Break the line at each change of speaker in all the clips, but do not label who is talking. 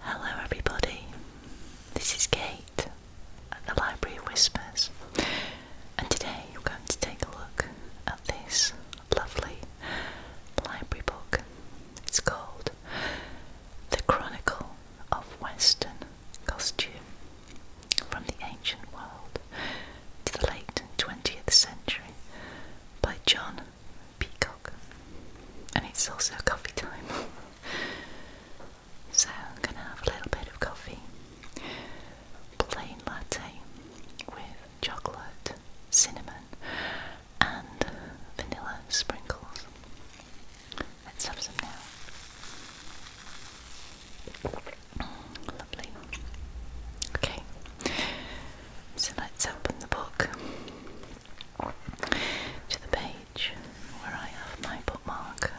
Hello, everybody. This is Kate at the Library Whispers, and today we're going to take a look at this lovely library book. It's called The Chronicle of Western Costume From the Ancient World to the Late 20th Century by John peacock, and it's also coffee time. so I'm gonna have a little bit of coffee, plain latte with chocolate, cinnamon, and vanilla sprinkles. Let's have some now. Lovely. Okay, so let's open the book to the page where I have my bookmark.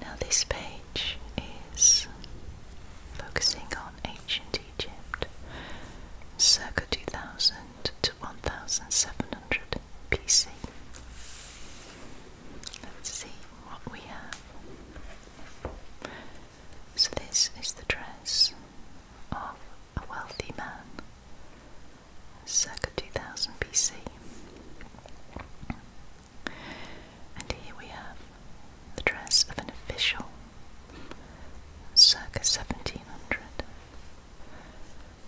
Now, this page is focusing on ancient Egypt, circa 2000 to 1700 BC. Let's see what we have. So, this is the dress of a wealthy man, circa 2000 BC. And here we have the dress of an official, circa 1700.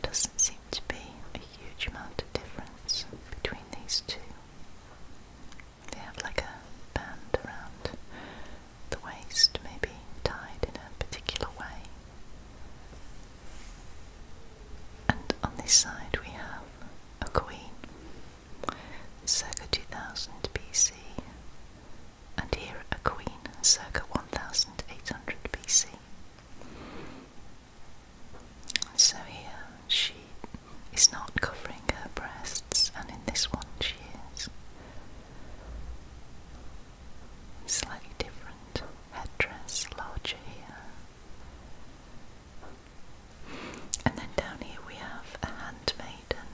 Doesn't seem to be a huge amount of difference between these two. They have like a band around the waist, maybe tied in a particular way. And on this side we have a queen, circa 2000 BC, and here a queen, circa 1800 BC. So here she is not covering her breasts, and in this one she is. Slightly different head dress, larger here. And then down here we have a handmaiden,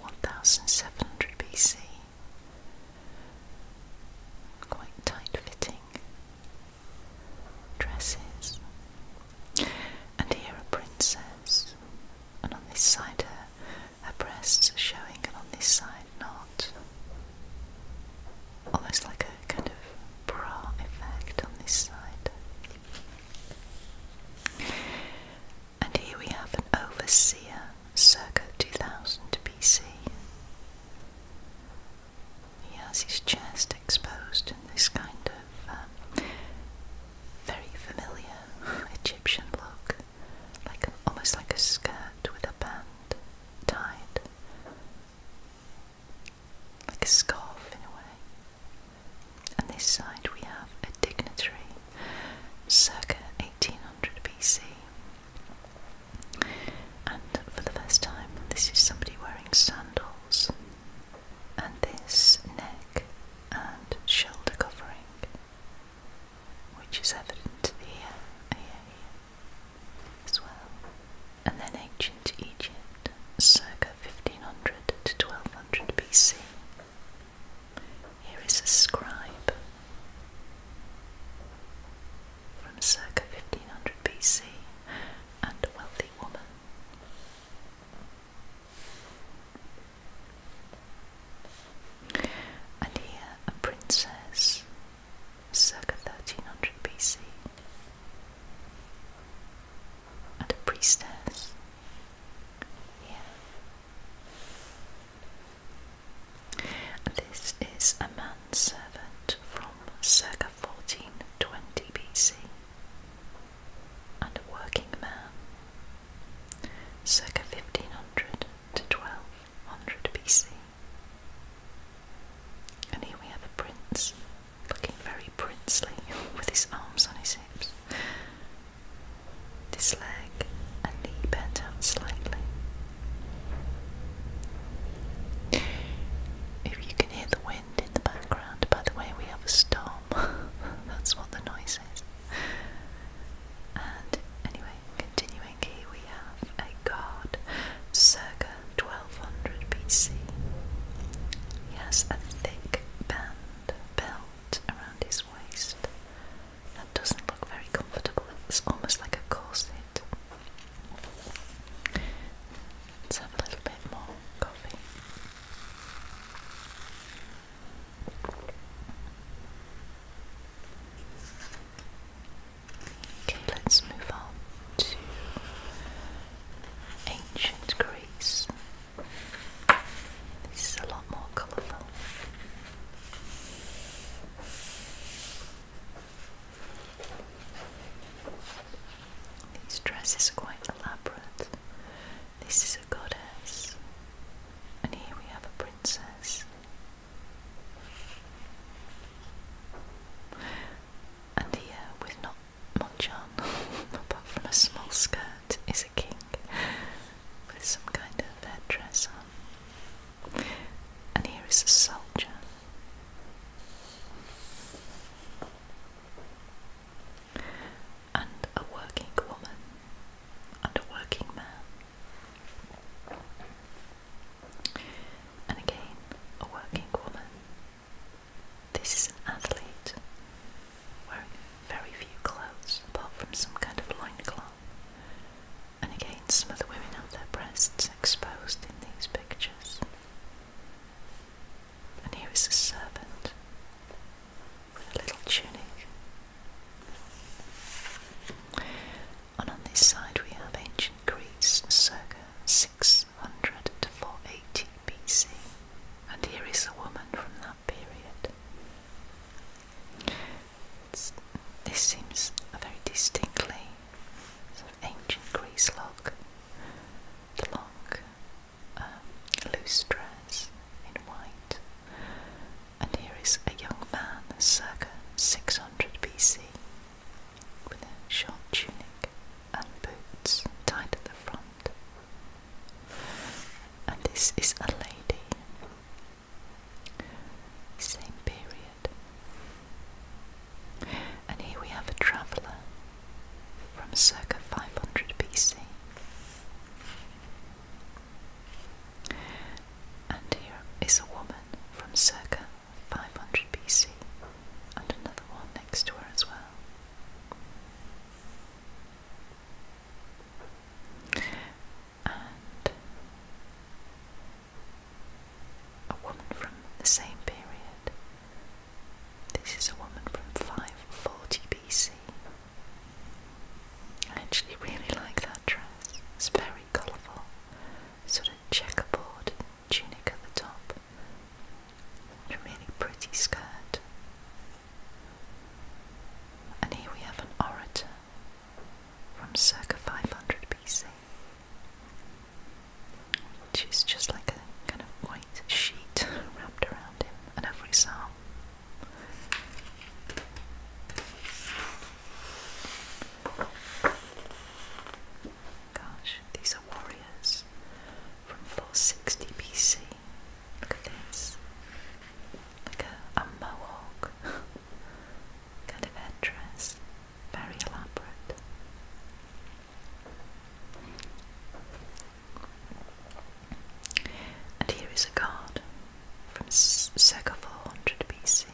1700 BC. Quite tight fitting dresses and here a princess, and on this side her, her breasts are showing, and on this side not. Almost like a kind of bra effect on this side. And here we have an overseer circa 2000 BC. He has his chest exposed in this kind of um, very familiar Egyptian look, like almost like a skirt with a band tied, like a scarf in a way. And this side we have a dignitary, circa 1800 BC. And for the first time, this is somebody wearing sandals. And this neck and shoulder covering, which is evident here, here, here as well. And then ancient Egypt, circa 1500 to 1200 BC. Here is a scribe from circa 1500 BC and a wealthy woman. And here a princess circa 1300 BC and a priestess here. this is a manservant from circa 1420 BC and a working man, circa 1500 to 1200 BC. And here we have a prince, looking very princely, with his arms on his hips, this leg and knee bent out slightly. If you can hear the wind in the background, by the way, we have a storm. That's what the noise anyway, continuing here, we have a god circa 1200 BC. He has a thick band belt around his waist that doesn't look very comfortable, it's almost like a corset. Let's have a little bit more coffee. Okay, let's move on to ancient Greece. This is a lot more colourful. These dresses are quite elaborate. This is a goddess, and here we have a princess. And here, with not much on, apart from a small skirt, is a king with some kind of headdress on. And here is a soldier and a working woman and a working man. And again, a working woman. This is an athlete wearing very few clothes apart from some kind of loin cloth. And again, some of the women have their breasts exposed in these pictures. And here is a servant with a little tunic. And on this side we have ancient Greece, circa 600 to 480 BC. And here is a woman from that period. this seems a very distinctly sort of ancient Greece look. The um, loose dress in white. And here is a young man, circa 600 BC, with a short tunic and boots tied at the front. And this is a lady, same period. And here we have a traveller from circa 500 BC. And here is a woman from circa 500 BC, and another one next to her as well. And a woman from the same period. This is a woman from 540 BC. I actually really like that dress. It's very colourful, sort of checkerboard tunic at the top, really pretty skirt. And here we have an orator from circa 500 BC, which is just like a kind of white sheet wrapped around him, and over his Gosh, these are warriors from 460 BC. Look at this. Like a, a mohawk kind of headdress. Very elaborate. And here is a card from circa 400 BC.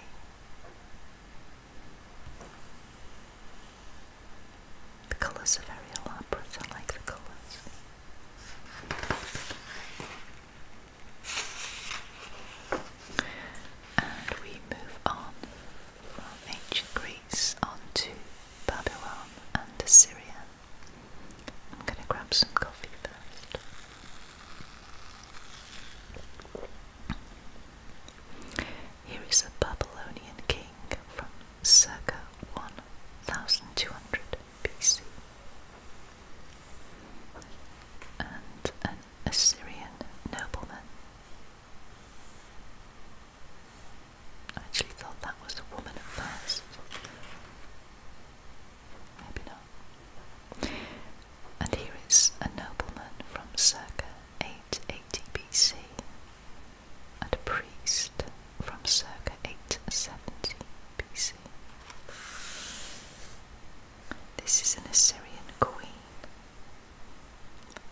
The colours are very elaborate, I like the colours. And we move on from ancient Greece onto Babylon and Assyria. I'm gonna grab some coffee first. Here is a Babylonian king from circa 1200 BC and an Assyrian nobleman. I actually thought that was a woman at first. Maybe not. And here is a nobleman from circa 880 BC and a priest from circa 870 BC. This is an Assyrian queen,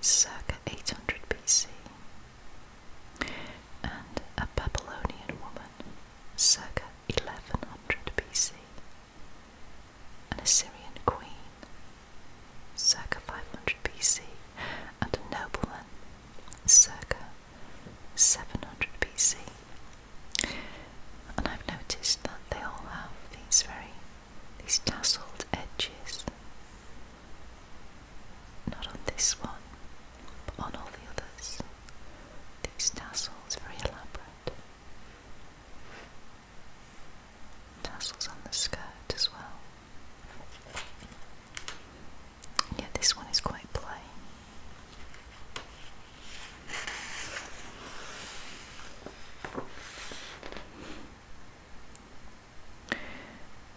circa 800 BC, and a Babylonian woman, circa 1100 BC, an Assyrian queen, circa 500 BC, and a nobleman, circa 700 BC. And I've noticed that they all have these very these tasselled edges. Not on this one, but on all the others. These tassels, very elaborate. Tassels on the skirt as well. Yeah, this one is quite plain.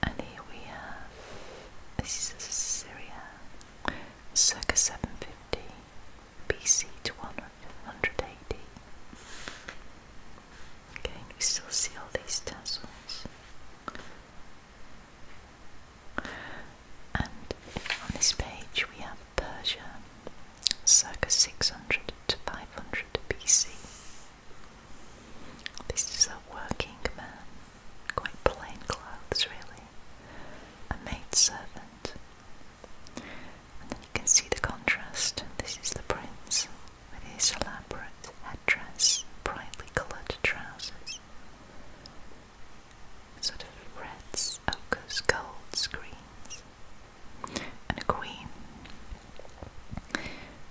And here we have this is Syria circa 750 BC to 100 AD. Okay, we still see all these tassels. And on this page we have Persia, circa 600 to 500 BC. This is a working man quite plain clothes really, a maidservant. And then you can see the contrast. This is the prince with his elaborate headdress, brightly coloured trousers, sort of reds, ochres, golds, greens, and a queen,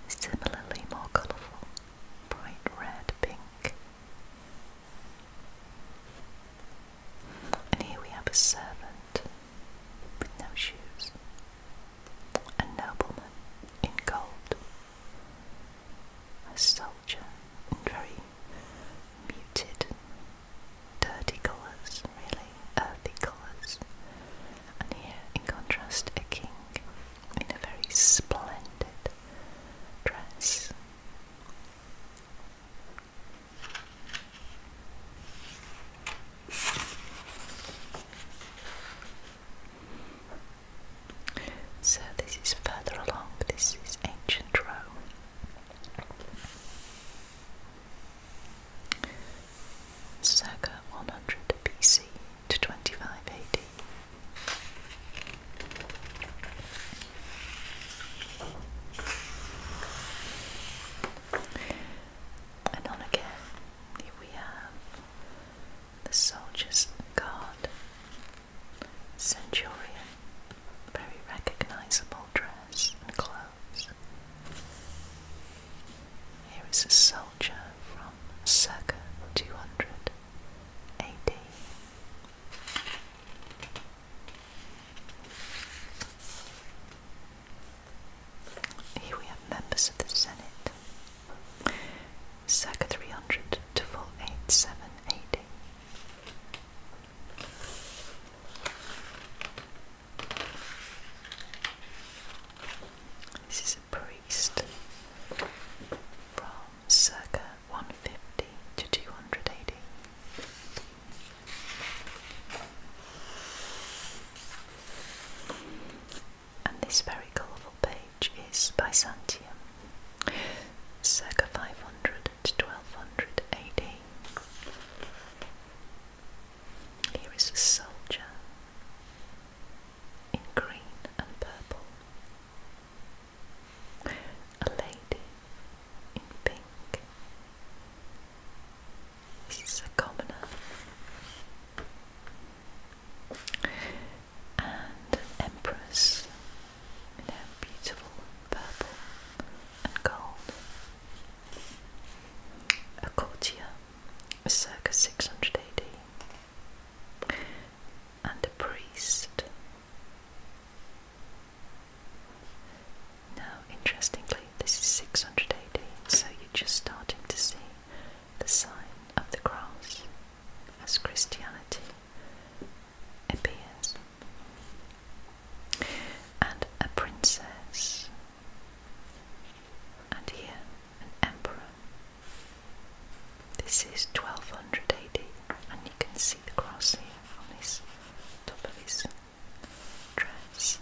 similarly more colourful, bright red, pink, and here we have a servant with no shoes, a nobleman in gold, a soldier in very muted, dirty colours, really earthy colours, and here in contrast a king in a very splendid dress. So this is further along, this is ancient Rome. Circa 100 BC to 25 AD. And on again, here we have the soldier's guard, centurion, very recognizable dress and clothes. Here is a soldier from circa 200 AD. Here we have members of the Senate, circa 300 to 487 This is a priest from circa 150 to two hundred eighty, And this very colourful page is Byzantium, circa 500 to 1200 AD. Here is a soldier in green and purple. A lady in pink. This is a commoner. And an empress in her beautiful purple and gold. A courtier circa 600 AD. And a priest now, interestingly, this is 600 AD, so you're just starting to see the sign of the cross as Christianity appears. And a princess, and here an emperor. This is 1200 AD, and you can see the cross here on his top of his dress.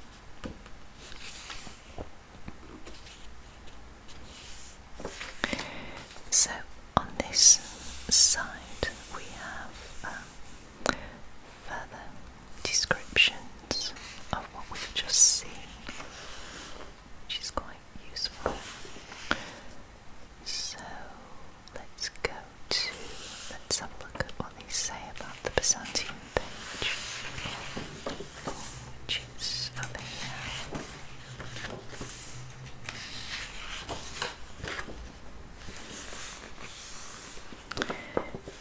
So on this side we have um, further descriptions of what we've just seen, which is quite useful. So let's go Let's have a look at what they say about the Byzantine page, which is over here.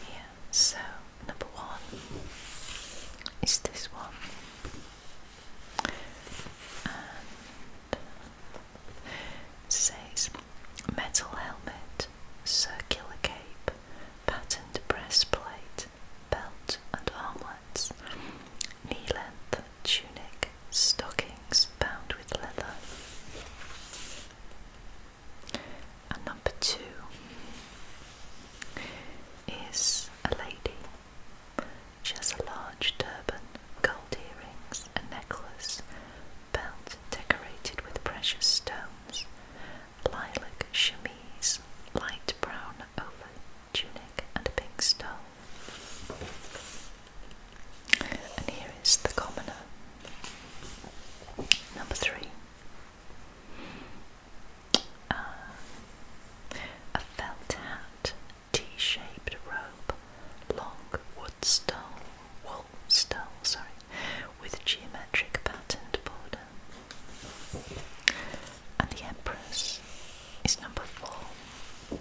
Yeah, so number one is this one, says metal helmet, circular cape, patterned breastplate, belt and armlets, knee length tunic, stockings bound with leather. And number two is a lady. She has a large turban, gold earrings, a necklace, belt decorated with precious stones, lilac chemise, light brown over tunic, and a pink stole. And here is the commoner. Number three. Uh, a felt hat, T shaped robe, long wood stole, stole, sorry, with geometric patterned border. And the Empress is number four.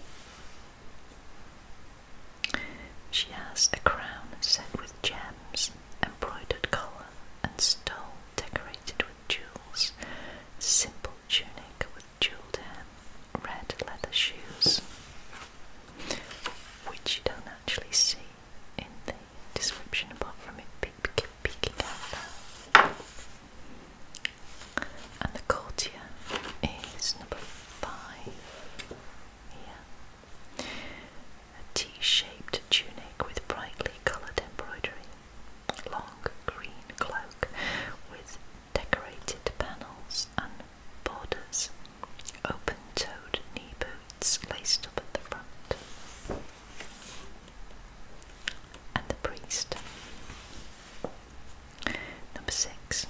She has a crown set with gems, embroidered collar, and stole decorated with jewels, simple tunic with jeweled hem, red leather shoes, which you don't actually see in the description apart from it peeking, peeking out there. And the courtier is number five here. A T shaped tunic with brightly coloured embroidery, long green cloak with decorated panels and borders, open toed knee boots laced up at the front. And the priest. Number six.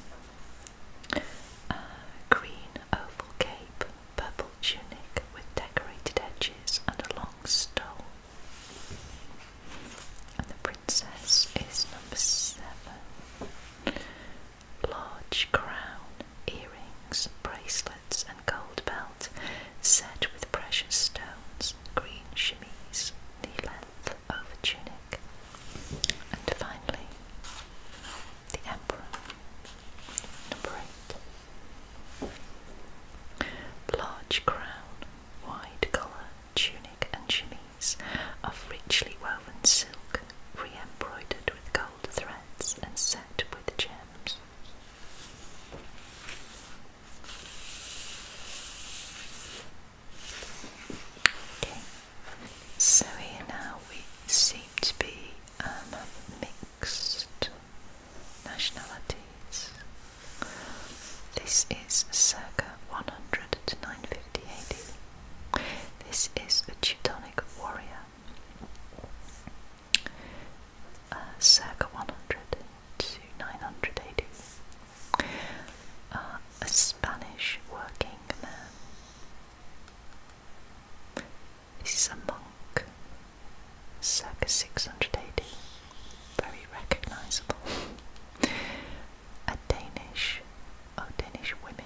A green oval cape, purple tunic with decorated edges and a long stole. And the princess is number seven large crown, earrings, bracelets, and gold belt set with precious stones, green chemise, knee-length over tunic. And finally, the emperor. Number eight. Large crown, wide collar, tunic and chemise of richly woven silk, re-embroidered with gold and set with gems. so here now we seem to be um, mixed nationalities. This is circa 100 to 950 AD. This is a Teutonic warrior, uh, circa 100 to 900 AD, uh, a Spanish working man. This is a monk, circa 600 AD, very recognizable. A Danish, oh Danish women,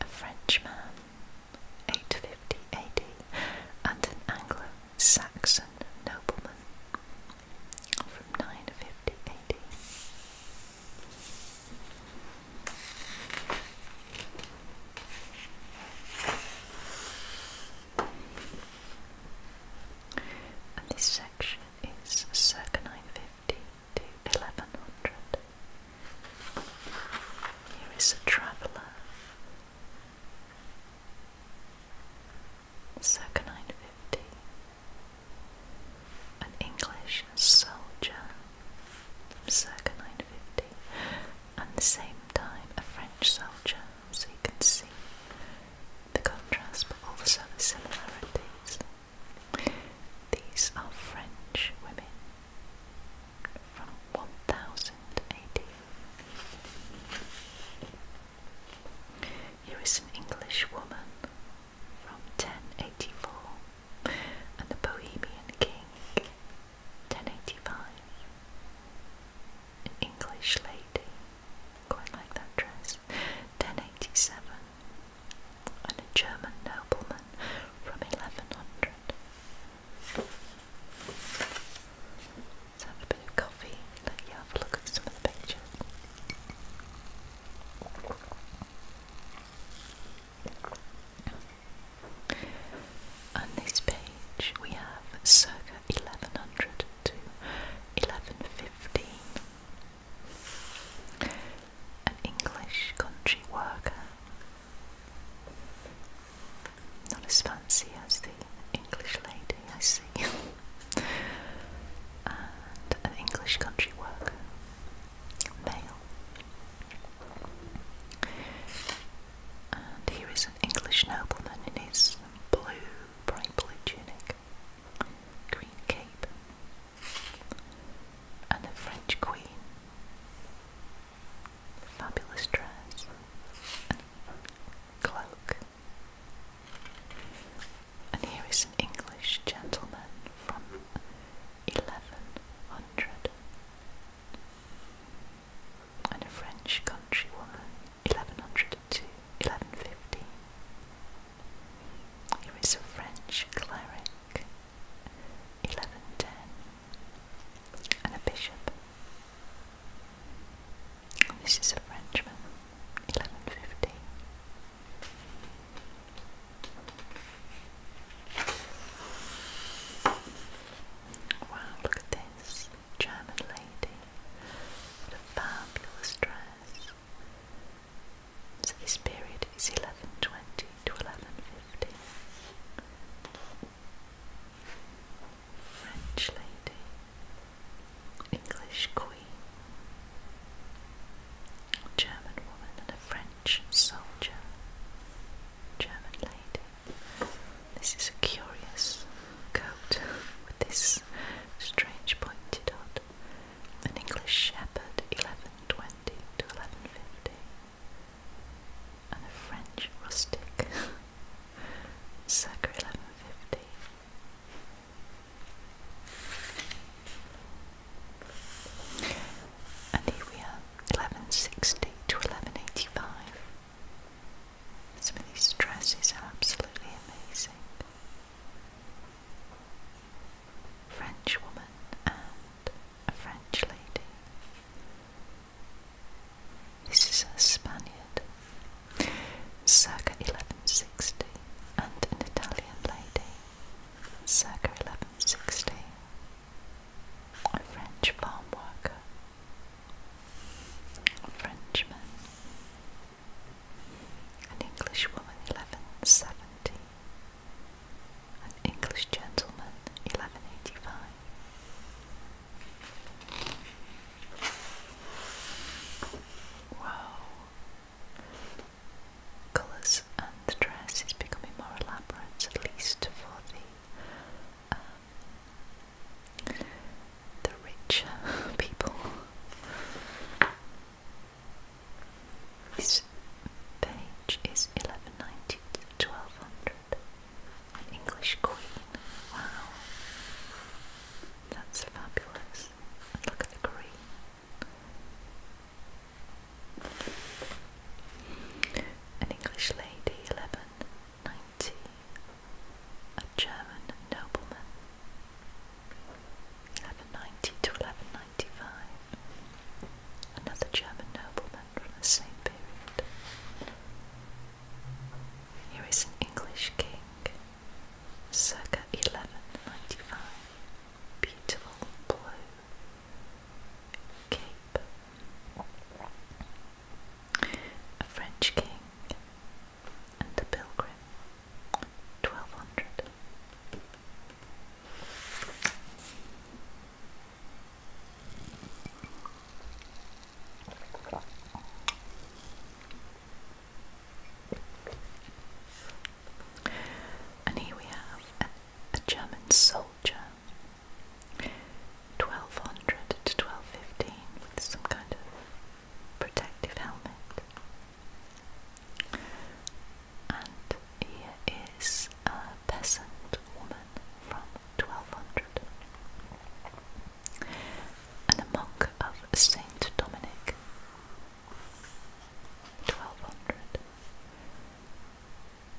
a Frenchman, 850 AD, and an Anglo Saxon nobleman from 950 AD. And this section is circa 950 to 1100. Here is a traveller, circa 950, an English soldier, circa 950, and the same time a French soldier, so you can see the contrast but also the similarities. These are French women from 1000 Here is an English woman from 1084 and the Bohemian King 1085. An English lady, quite like that dress, 1087. And a German nobleman from 1100. Let's have a bit of coffee let you have a look at some of the pictures. On this page we have circa 1100 to 1115 an English country worker. Not as fancy as the English lady, I see. and an English country worker, male. And here is an English nobleman in his blue, bright blue tunic, green cape, and a French queen fabulous dress cloak. And here is an English gentleman from 1100 and a French countrywoman 1100 to 1150. Here is a French cleric 1110 and a bishop. This is a Frenchman, 1150. Wow, look at this German lady. What a fabulous dress. So this period is 1120 to 1150. French lady, English queen, German woman, and a French soldier. German lady. This is a curious coat with this strange pointed on. An English shepherd, 1120 to 1150 and a French rustic, circa 1150. And here we are, 1160 to 1185. Some of these dresses are absolutely amazing. French woman a French lady. This is a Spaniard, circa 1160, and an Italian lady, circa 1160, a French farm worker, a Frenchman, an English woman, 1170, an English Gentleman, 1185. Wow. Colours and the dress is becoming more elaborate, at least for the um, the rich people. This page is eleven ninety an English queen. Wow. That's fabulous. look at the green. An English lady, 1190. A German nobleman, 1190 to 1195. Another German nobleman from the same period. Here is an English king, circa 1195, beautiful blue cape. A French king and a pilgrim, 1200. And here we have a, German soldier, 1200 to 1215, with some kind of protective helmet. And here is a peasant woman from 1200 and a monk of Saint Dominic 1200.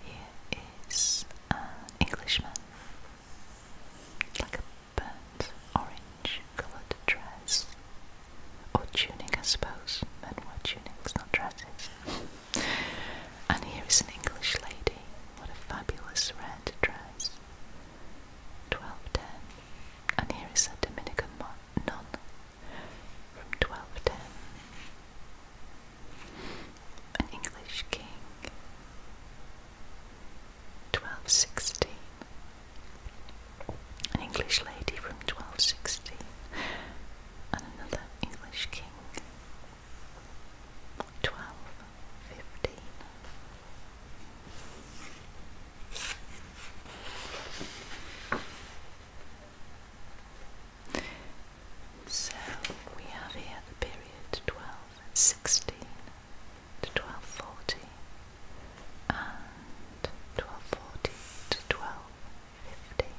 Here is an Englishman, like a burnt orange coloured dress, or tunic, I suppose. Men wore tunics, not dresses. And here is an English lady. What a fabulous red dress. 1210. And here is a Dominican nun from 1210. An English king. 1216. An English lady from 1216. And another English king twelve, fifteen. So we have here the period twelve sixteen to twelve forty and twelve forty to twelve fifteen.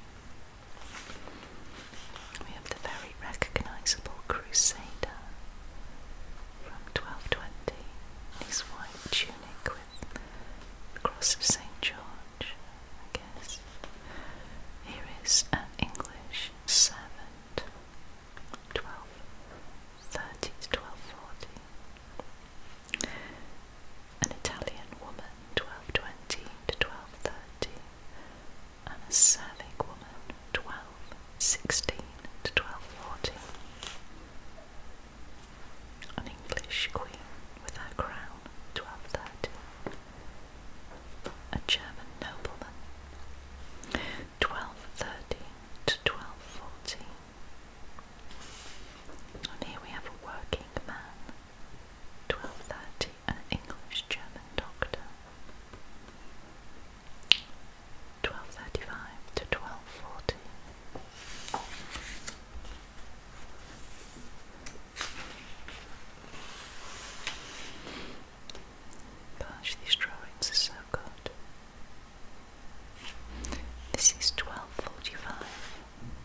We have the very recognisable Crusader from 1220 his white tunic with the cross of St. George, I guess. Here is an English servant, 1230 to 1240. An Italian woman, 1220 to 1230 and a serving woman, 12, 16 to 1240. An English queen with her crown, 1230. A German nobleman, 1230 to 1240. And here we have a working man, 1230 an English German doctor. 1235 to 1240. Gosh, these drawings are so good. This is 1245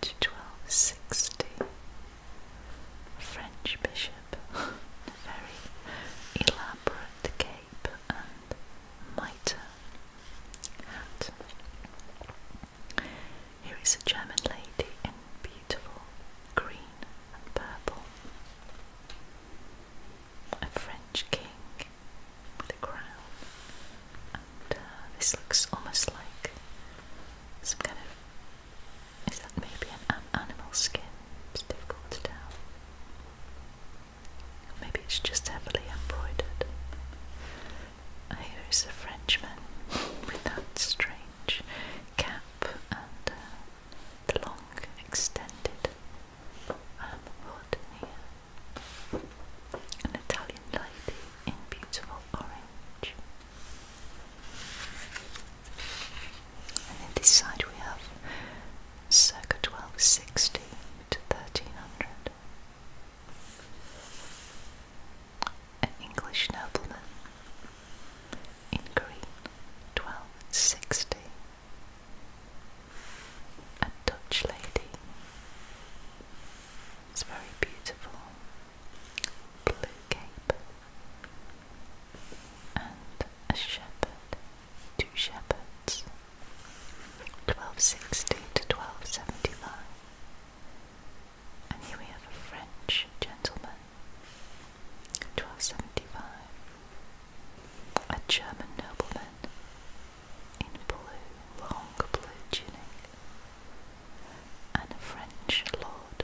to 1260 a French bishop a very elaborate cape and mitre hat. Here is a German lady in beautiful green and purple. A French king with a crown, and uh, this looks almost like some kind of is that maybe an, animal skin? It's difficult to tell. Maybe it's just heavily embroidered. Here is a Frenchman with that strange cap and uh, the long extended um, An Italian lady in beautiful orange. And in this side we have circa 1260 to 1300. An English nobleman in green, 1260. A Dutch lady. It's very beautiful. Blue cape, and a shepherd, two shepherds, 1260 to 1275. And here we have a French gentleman, 1275, a German nobleman in blue, long blue tunic, and a French lord.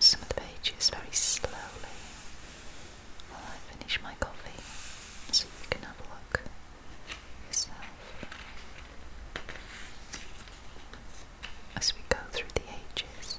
some of the pages very slowly while I finish my coffee so you can have a look yourself as we go through the ages.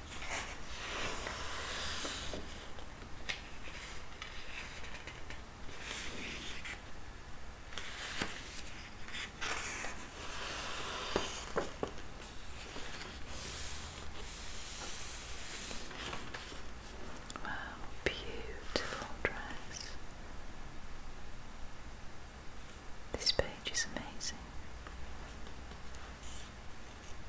Wow, beautiful dress. This page is amazing.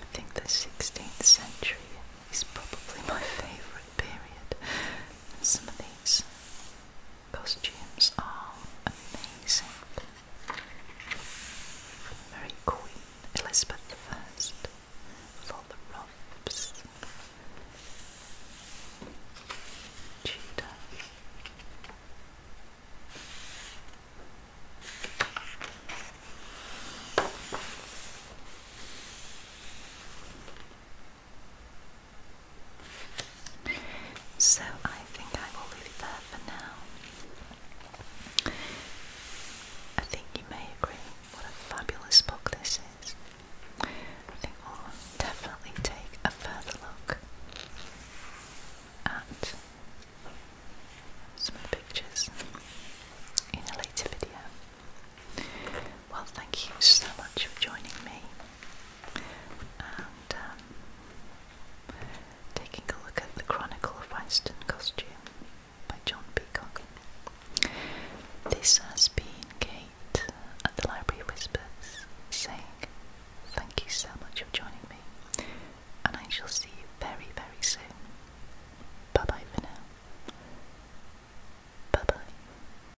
I think the 16th century is probably my favourite period. Some of these costumes are amazing. Mary Queen Elizabeth I with all the robes, Tudor. So I think I will leave it there for now. I think you may agree what a fabulous book this is. I think we'll definitely take a further look at some of the pictures in a later video. Well, thank you so much for joining me and um, taking a look at the Chronicle of Weston Costume by John Peacock. This has been Kate at the Library Whispers saying thank you so much for joining me and I shall see you very, very soon. Bye bye for now. Bye bye.